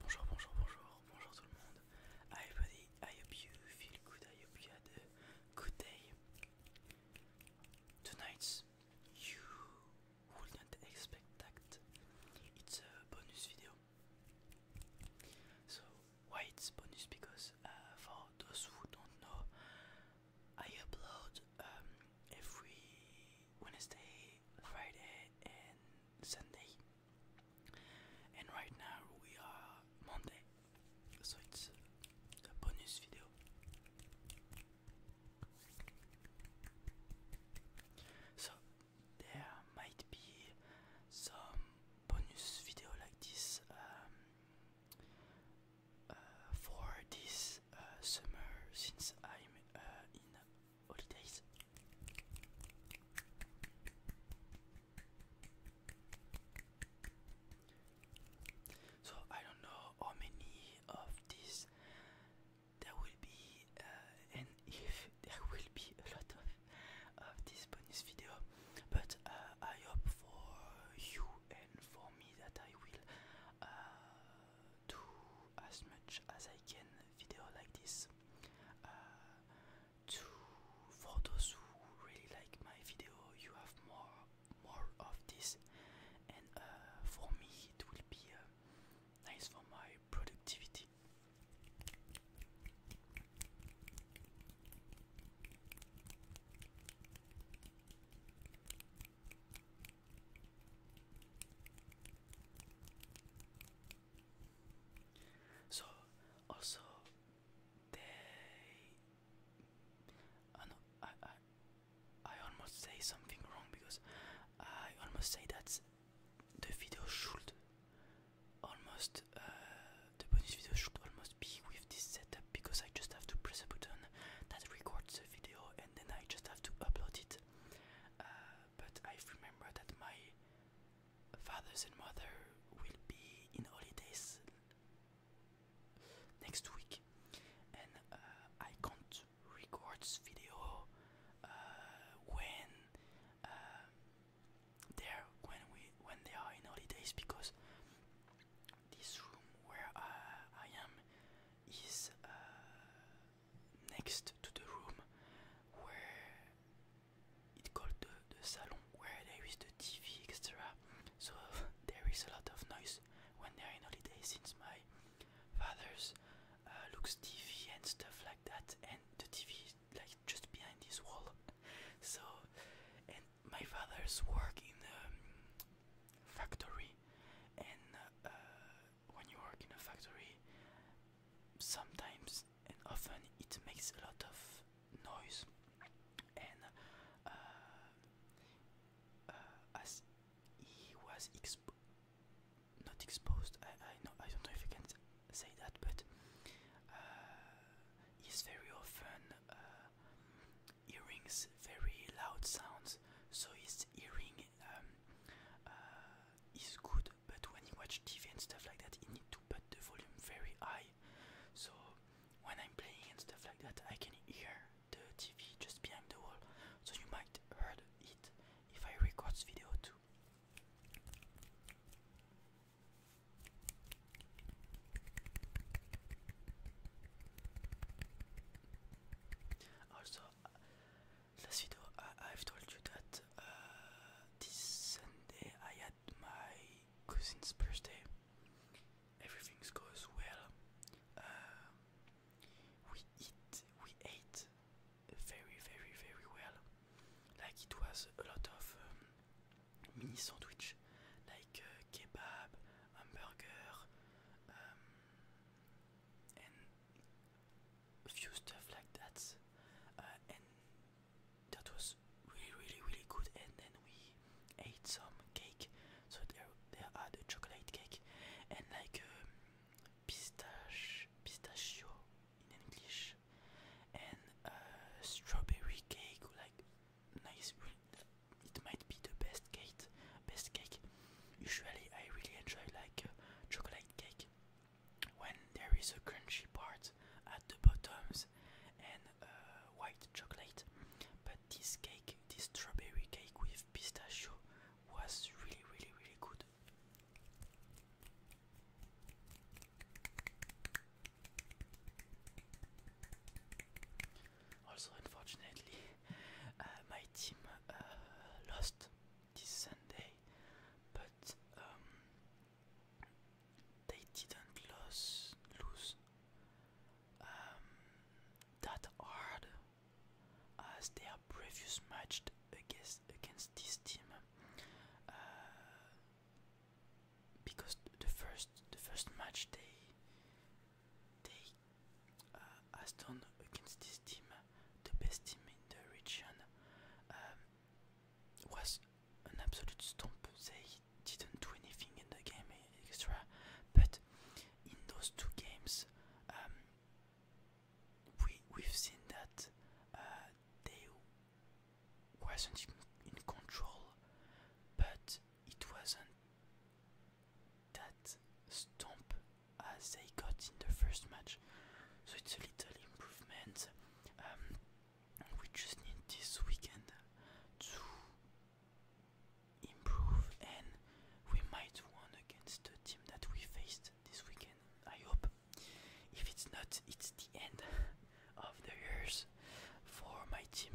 Bonjour, bonjour, bonjour, bonjour tout le monde. everybody, I hope you feel good, I hope you had a good day. Tonight, you wouldn't expect It's a bonus video. So, why it's bonus? Because uh, for those who don't know, I upload um, every Wednesday, Friday, and Sunday, and right now we are Monday, so it's a bonus video. So there might be some bonus video like this um, uh, for this uh, summer since I'm uh, in holidays. So I don't know how many of these there will be, uh, and if there will be a lot of of this bonus video, but uh, I hope for you and for me that I will uh, do as much as I can video like this uh, to for those who really like my video you have more more of this and uh, for me it will be uh, nice for my productivity so also they uh, no, I I I almost say something wrong because I almost say that the video should almost uh, the bonus video should almost be with this setup because I just have to press a button that records the video and then I just have to upload it. Uh, but I've remembered that my fathers and mother will be in holidays next week, and uh, I can't record video uh, when uh, they're when we when they are in holidays because this room where I am is next to the room where it's called the, the salon, where there is the TV, etc. So there is a lot of noise when they're in holiday since my father's uh, looks TV and stuff like that, and the TV is like just behind this wall. so, and my father's work in a um, factory, and uh, when you work in a factory, sometimes and often it makes a lot of noise, and uh, uh, as he was exp not exposed, I, I know I don't know if you can say that, but uh, he's very often uh, hearing very loud sounds, so his hearing um, uh, it's good, but when you watch TV and stuff like that, you need to put the volume very high. So when I'm playing and stuff like that, I can hear the TV just behind the wall. So you might heard it if I record video too. Also, last video I, have told you that uh, this Sunday I had my cousin's birthday. Everything goes well. Uh, we eat, we ate very, very, very well. Like it was a lot of um, mini sandwiches, like uh, kebab, hamburger. Um, and a few stuff like that uh, and that was really really really good and then we ate some cake so there there are the chocolate cake and like um, pistache pistachio in English and uh, strawberry cake like nice it might be the best cake best cake Usually, I really enjoy like uh, chocolate cake when there is a crunchy part at the bottoms and uh, white chocolate. But this cake, this strawberry cake with pistachio, was really, really, really good. Also, unfortunately, my team uh, lost this Sunday, but um, they didn't lose lose um, that hard as their previous match against against this team. Uh, because the first the first match day. They uh, done against this team, the best team in the region, um, was an absolute stomp. They didn't do anything in the game etc. but in those two games, um, we we've seen that uh, they wasn't in control, but it wasn't that stomp as they got in the first match. So it's a little improvement. Um, we just need this weekend to improve, and we might win against the team that we faced this weekend. I hope. If it's not, it's the end of the years for my team.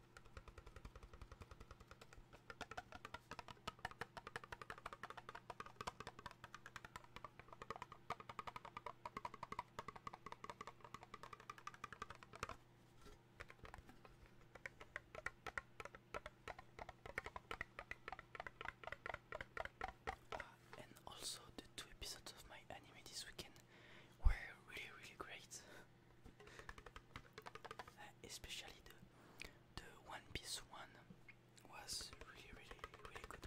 Uh, and also the two episodes of my anime this weekend were really really great especially the the One Piece one was really really really good.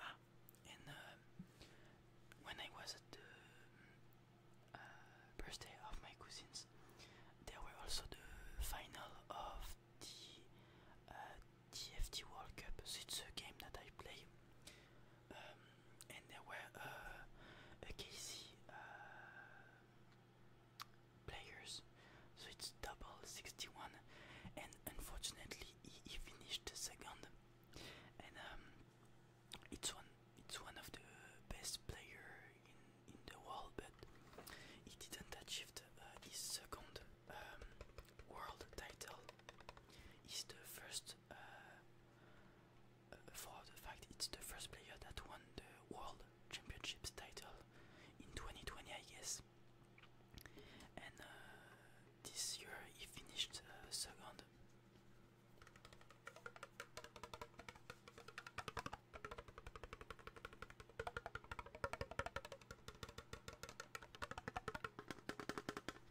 Ah, and uh, when I was at the uh, birthday of my cousins, there were also the final of the uh, TFT World Cup. So it's a game that I play. Um, and there were a KC players, so it's double 61. And unfortunately, he, finished second, and um, it's one it's one of the best player in in the world, but he didn't achieve uh, his second um, world title. He's the first. Uh, for the fact it's the first player that won the World Championships title in 2020, I guess. And uh, this year he finished uh, second.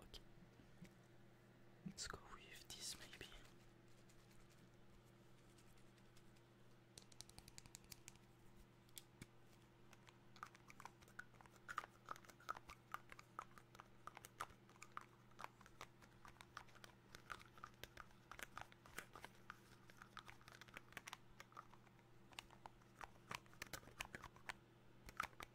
Okay. Let's go with this maybe.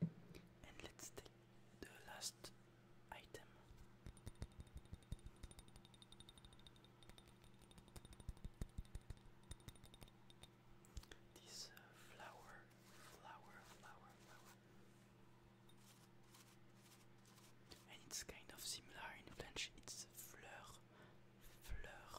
and let's take the last item. This uh, flower, flower, flower, flower. And it's kind of similar in French, it's fleur, fleur.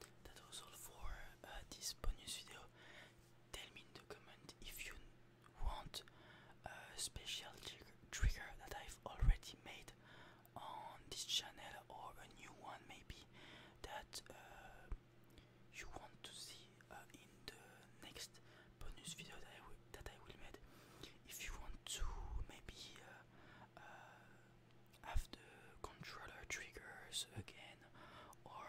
that was all for uh, this bonus video. Tell me in the comment if you want a special trigger, that I've already made on this channel or a new one maybe that uh, you want to see uh, in the next bonus video that I will, that I will make. If you want to maybe have the controller triggers again or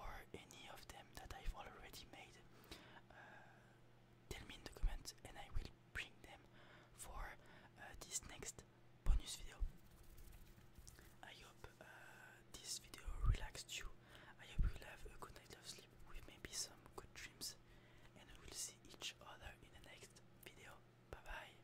or any of them that I've already made uh, tell me in the comments and I will bring them for uh, this next bonus video I hope uh, this video relaxed you I hope you have a good night of sleep with maybe some good dreams and we will see each other in the next video bye bye